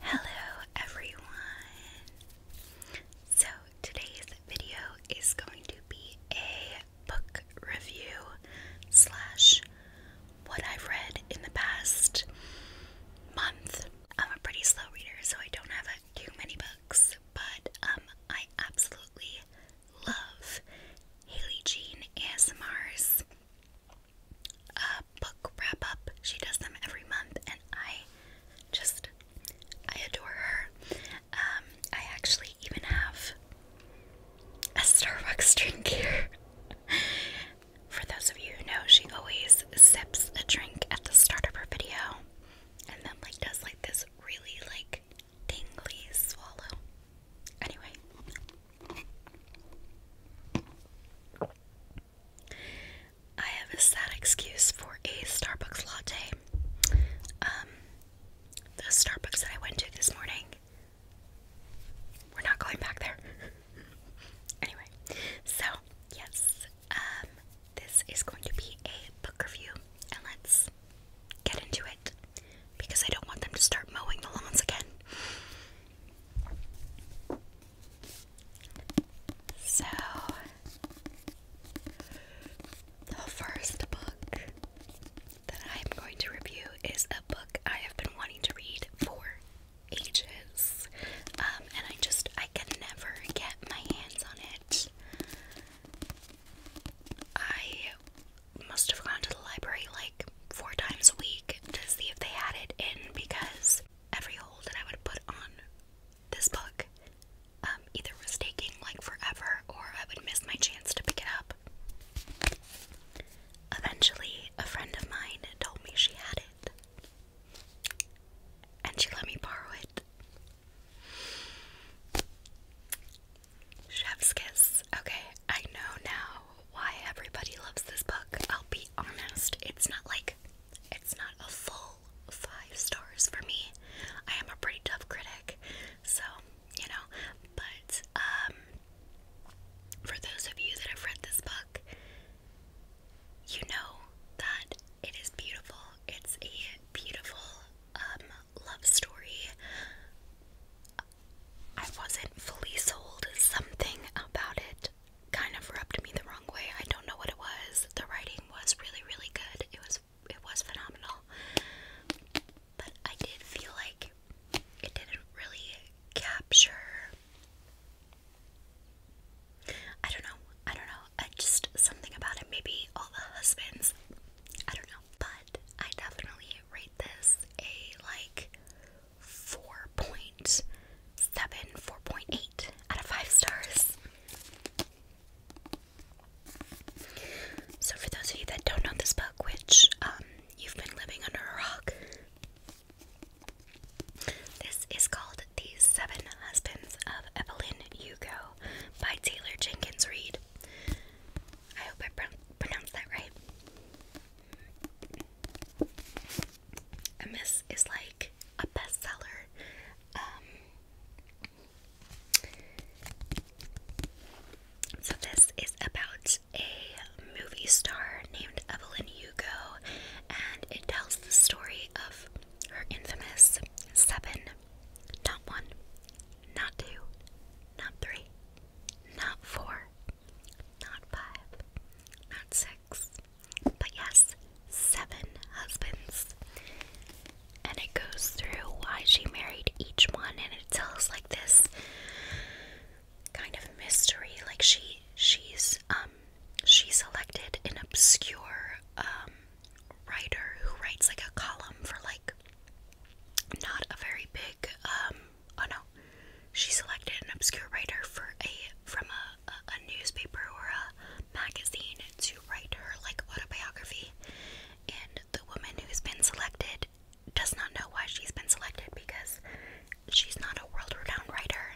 Hello everyone! So today's video is going to be a book review slash what I've read in the past month. I'm a pretty slow reader so I don't have too many books but um, I absolutely love Haley Jean ASMR's a book wrap up. She does them every month, and I just I adore her. Um, I actually even have a Starbucks drink here. For those of you who know, she always sips a drink at the start of her video, and then like does like this really like tingly swallow. Anyway. I have a sad excuse for a Starbucks latte. Um, the Starbucks that I went to this morning, we're not going back there. anyway, so yes, um, this is going to be a book review, and let's get into it because I don't want them to start mowing the lawns again. So, the first book that I'm going to review is a book I have been wanting to read for ages. Um, and I just, I can never get my hands on it. I must have gone to the library like four times a week to see if they had it in because every hole that I would put on this book um, either was taking like forever or I would miss my chance to pick it up. Eventually, a friend of mine told me she had it, and she let me borrow it. Chef's kiss. Okay, I know now why everybody loves this book. I'll be honest, it's not like it's not a full five stars for me. I am a pretty tough critic, so you know, but um for those of you that have read this book, you know that it is beautiful. It's a beautiful um love story. I wasn't fully sold something about it kind of rubbed me the wrong way. I don't know what it was. The writing was really, really good. It was it was phenomenal. But I did feel like it didn't really capture I don't know. I don't know. I just something about it. Maybe all the husbands. I don't know. But I definitely rate this a like 4.7, out of 5 stars. So, for those of you that don't know this book, which um, you've been living under a rock, this is called The Seven Husbands of Evelyn Hugo by Taylor Jenkins Reid. I hope I pro that right. And this is like a bestseller. Um, so this is about a movie star named Evelyn Hugo, and it tells the story of her infamous seven, not one, not two, not three, not four, not five, not six, but yes, seven husbands. And it goes through why she married each one and it tells like this kind of mystery. Like she she's um she selected an obscure um writer who writes like a column for like not a very big um oh no she selected an obscure writer from a, newspaper or a magazine to write her like autobiography, and the woman who's been selected does not know why she's been selected because she's not a world-renowned writer,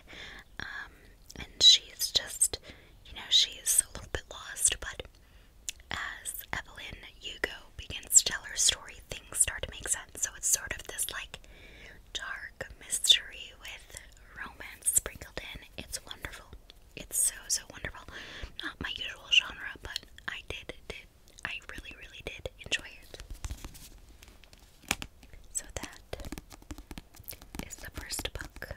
um, and she's just you know she's a little bit lost. But as Evelyn Hugo begins to tell her story, things start to make sense. So it's sort of this like. Dark mystery with romance sprinkled in. It's wonderful. It's so so wonderful. Not my usual genre, but I did did I really really did enjoy it. So that is the first book.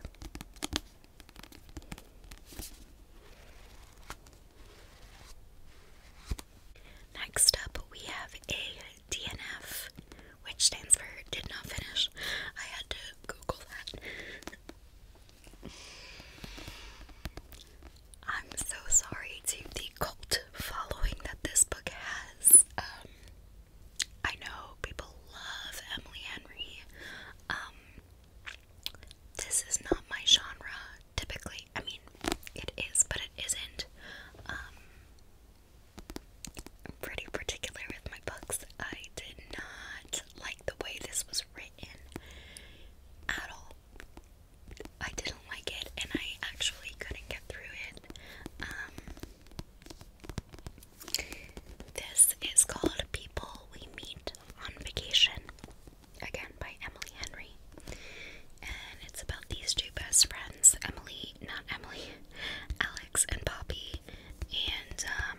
Next up, we have a DNF, which stands for did not finish. I had to Google that. I'm so sorry to the cult following that this book has. Um, I know people love Emily Henry. Um, this is not my genre typically. I mean, it is, but it isn't. Um, I'm pretty particular with my books. I did not like the way this was written at all. I didn't like it and I actually couldn't get through it. Um, this is called People We Meet on Vacation, again by Emily Henry. And it's about these two best friends Emily, not Emily, Alex and Poppy, and um,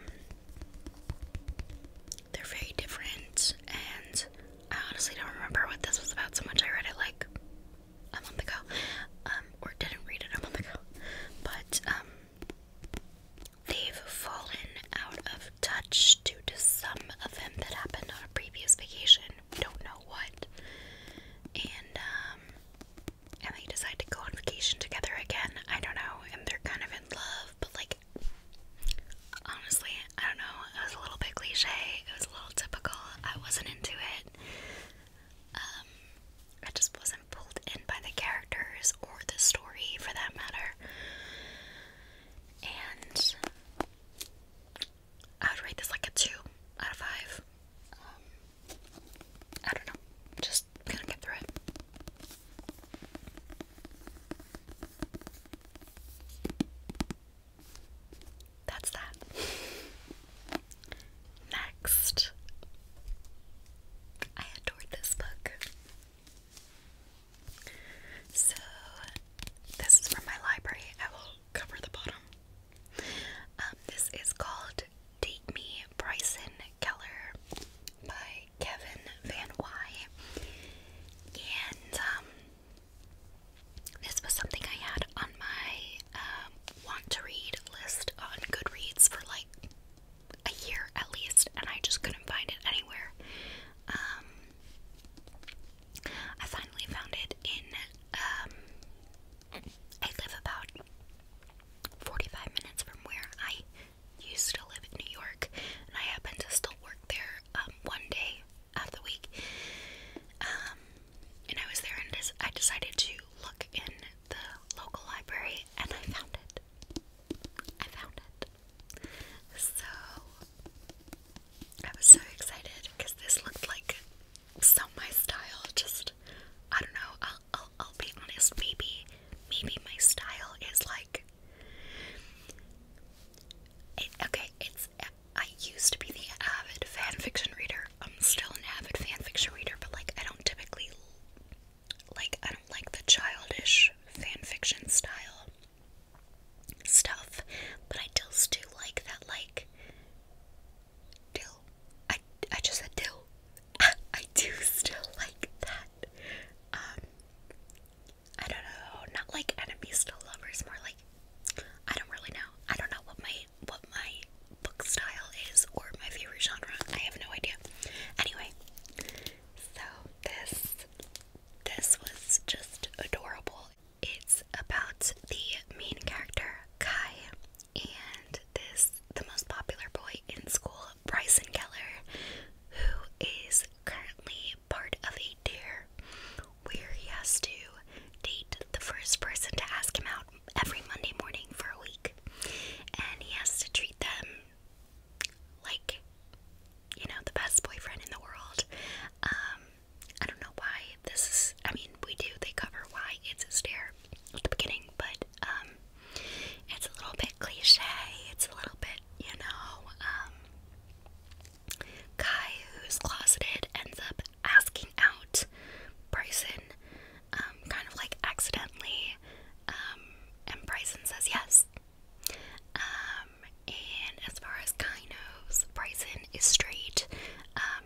they're very different. And I honestly don't remember what this was about so much. I read it like a month ago, um, or didn't read it a month ago, but um, they've fallen out of touch due to some event that happened on a previous vacation. don't know what, and and they decide to go on vacation together again. I don't know, and they're kind of in love, but like, honestly, I don't know. It was a little bit cliche, it was a little typical. I wasn't into it. Um, I just wasn't pulled in by the characters or the story for that matter. And I would rate this like a 2 out of 5. I don't know. Just gonna get through it. That's that. Next, I adored this book. So, this is from my library. I will cover the bottom. Um, this is called Date Me Bryson Keller by Kevin Van Wy. And um, this was something I had on my um, want to read list on Goodreads for like a year at least, and I just couldn't find it anywhere. Um, I finally found it in. I live about 45 minutes from where I used to live in New York, and I happen to still work there um, one day out of the week. Um, and I was there, and des I decided to look in the local library, and I found it. I found it. So I was so excited because this looked like so my style just I don't know I'll, I'll, be honest maybe maybe my style is like okay it's I used to be the avid fanfiction reader I'm still an avid fanfiction reader but like I don't typically like I don't like the childish fanfiction style stuff but I still do like that like dill. I I just said dill. I do still like that. Um, I don't know. Not like enemies to lovers. More like I don't really know. I don't know what my what my book style is or my favorite genre. I have no idea. Anyway, so this this was just adorable. It's about the main character Kai, and this the most popular boy in school, Bryson Keller, who is currently part of a dare where he has to date the first person to ask him out every Monday morning for a week. And he has to treat them like, you know, the best boyfriend in the world. Um, I don't know why this is, I mean, we do, they cover why it's a stare at the beginning, but um, it's a little bit cliche. It's a little bit, you know, um, guy who's closeted ends up asking out Bryson, um, kind of like accidentally, um, and Bryson says yes. Um, and as far as Kai knows, Bryson is straight. Um,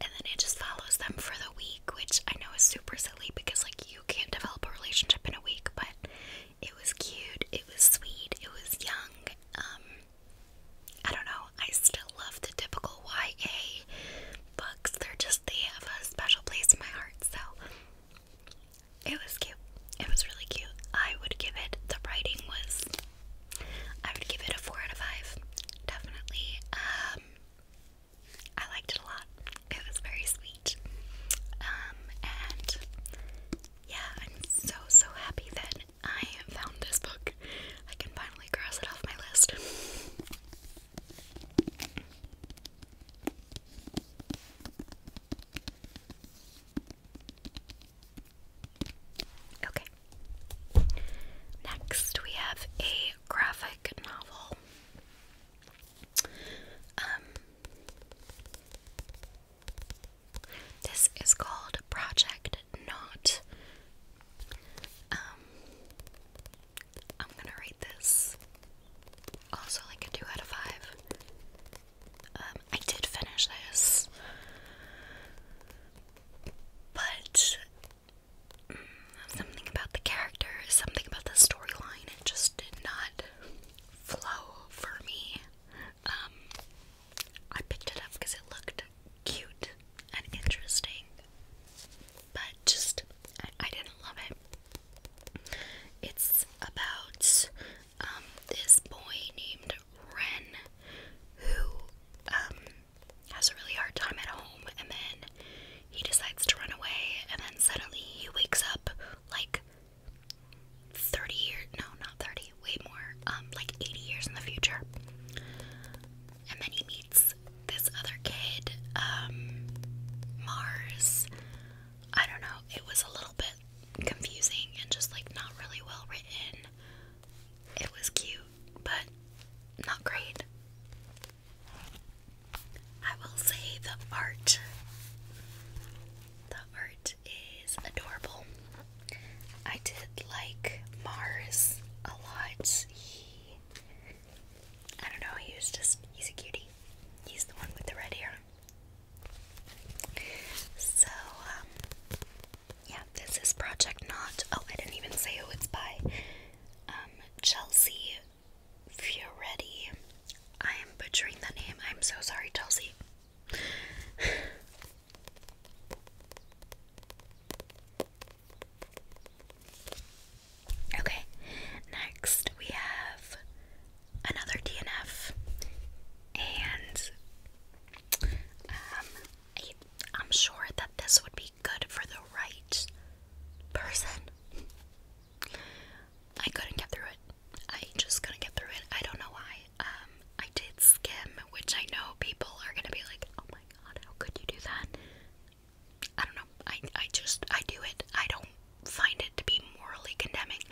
and then it just follows them for the week, which I know is super silly because, like, you can't develop a relationship in a week, but it was cute, it was sweet, it was young. Um, I don't know, I still love the typical YA books, they're just, they have a special place in my heart, so it was cute. It was really cute. I would give it, the writing was, I would give it a 4 out of 5, definitely. Um, I liked it a lot. It was very sweet. Um, and yeah, I'm so, so happy that I found this book. I can finally cross it off my list. Okay. Next, we have a graphic novel um, this is called Project Knot. Um, I'm gonna rate this also like a 2 out of 5. Um, I did finish this, but something about the characters, something about the storyline, it just did not flow for me. Um, I picked it up because it looked cute and interesting, but just I, didn't love it. It's about um, this boy named Ren who um, has a really hard time at home, and then he decides to run away, and then suddenly he wakes up like 30 years no, not 30, way more, um, like 80 years in the future. And then he meets this other kid, um, Mars. I don't know, it was a little bit confusing and just like not really well written. It was cute, but not great. I will say the art. The art is adorable. I did like Mars a lot. He I don't know, he was just he's a cutie. He's the one with the red hair. So, um, yeah, this is Project Not. Oh, I didn't even say who it's by. Um Chelsea Fioretti. I am butchering the name. I'm so sorry, Chelsea. okay, next we have another DNF, and um, I'm sure that this would be good for the right person. I couldn't get through it. I just couldn't get through it. I don't know why. Um, I did skim, which I know people are gonna be like, "Oh my god, how could you do that?" I don't know. I I just I do it. I don't find it to be morally condemning.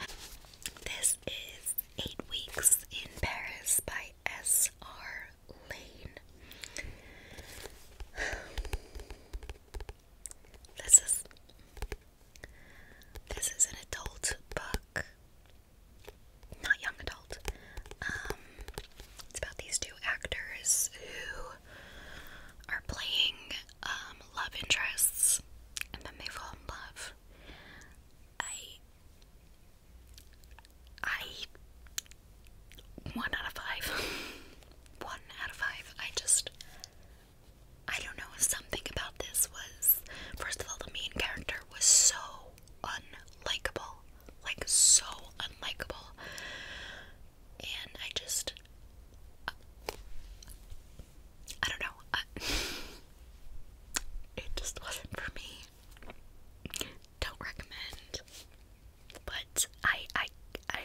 This is Eight Weeks in Paris by S. R. Lane. This is this is an adult book. Not young adult. Um, it's about these two actors who are playing um, love interests and then they fall in love. I I one out of five. one out of five. I just, I don't know. Something about this was, first of all, the main character was so unlikable. Like, so unlikable. And I just, I don't know. it just wasn't for me. Don't recommend but I I I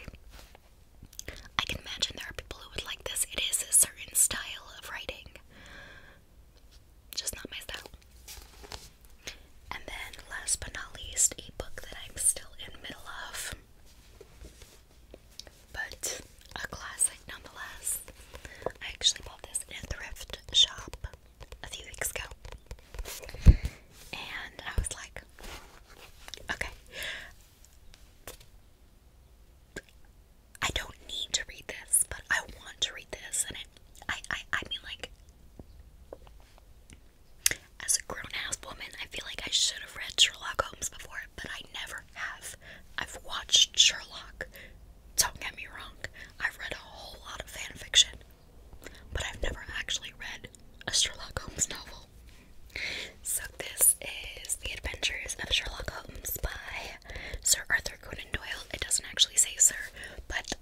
I can imagine there are people who would like this. It is a certain style of writing. Just not my style. And then last but not least, a book that I'm still in middle of. But a classic nonetheless. I actually bought this at a thrift shop a few weeks ago. And I was like, Okay. I don't need to read this, but I want to read this, and it, I, I, I mean, like, as a grown-ass woman, I feel like I should have read Sherlock Holmes before, but I never have. I've watched Sherlock. Don't get me wrong. I've read a whole lot of fan fiction, but I've never actually read a Sherlock Holmes novel. So this is The Adventures of Sherlock Holmes by Sir Arthur Conan Doyle. It doesn't actually say Sir, but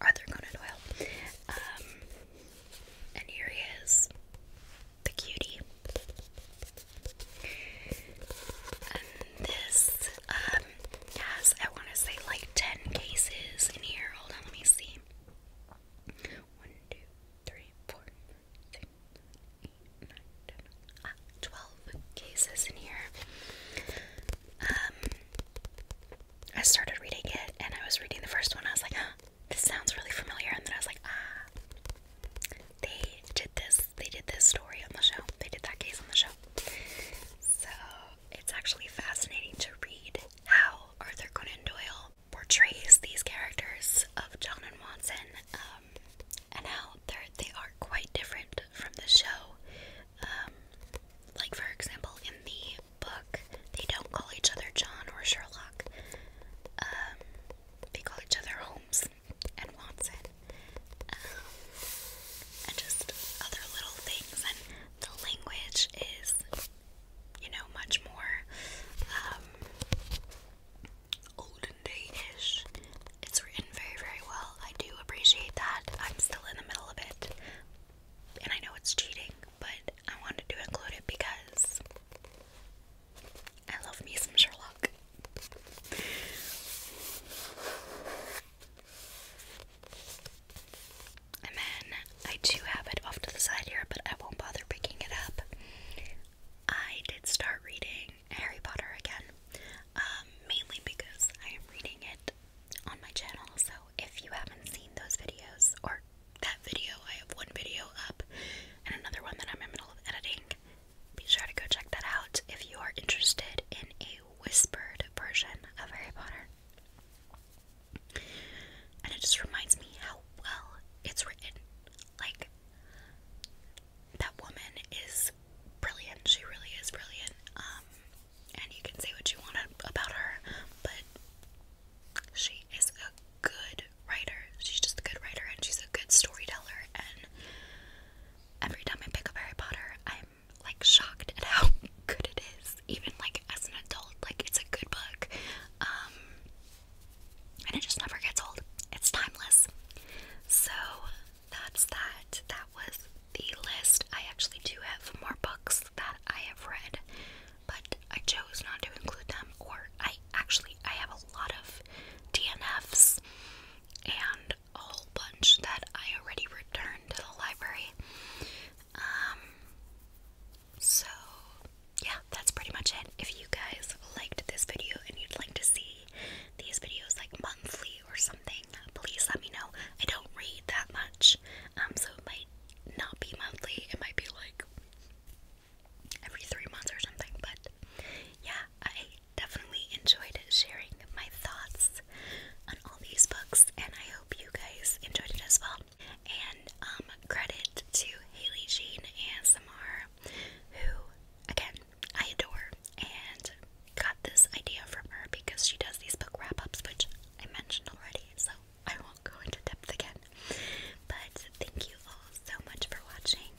Arthur Conan Doyle. Um, and here he is, the cutie. And this um, has, I want to say, like 10 cases in here. Hold on, let me see. 1, ah, 12 cases in here. Um, I started reading it and I was reading the first one. I was like, this sounds really familiar. And then I was like, ah, they did this. They did this story on the show. They did that case on the show. So it's actually fascinating to read how Arthur Conan Doyle portrays these characters of John and Watson um, and how they are quite different from the show. Um, like, for example, in the book, they don't call each other John or Sherlock, um, they call each other Holmes and Watson. Um, and just other little things, and the language is you know, much more um, olden day-ish. It's written very, very well. I do appreciate that. I'm still in the middle of it. And I know it's cheating, but I wanted to include it because I love me some Sherlock. And then I do have it off to the side here, but I won't bother picking it up. I did start reading Harry Potter again, um, mainly because I am reading it on my channel. So if you haven't seen those videos or that video, I have one video up and another one that I'm in the middle of editing. Be sure to go check that out if you are interested in a whispered version of Harry Potter. And it just reminds me how well it's written. Like, that woman is brilliant. She really is brilliant. Um, and you can say what you want about her, but she is a good writer. She's just a good writer and she's a good storyteller. And every time I pick up Harry Potter, I'm like shocked at how good it is. Even like as an adult, like it's a good book. Um, and it just never gets old. It's timeless. So that's that. That was the list. I actually do have more books that I have read, but I chose not to include them. Or I actually I have a lot of DNFs and a whole bunch that I already returned to the library. Um so, yeah, that's pretty much it. If you guys liked this video and you'd like to see these videos like monthly or something, please let me know. I don't read that much, um, so it might not be monthly, it might be like every three months or something, but yeah, I definitely enjoyed sharing my thoughts on all these books, and I hope you guys enjoyed it as well. And um, credit to Haley Jean ASMR, who, again, I adore, and got this idea from her because she does these book wrap ups, which I mentioned already, so I won't go into depth again. But thank you all so much for watching.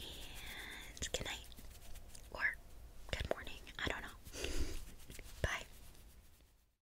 And good night. Or good morning. I don't know. Bye.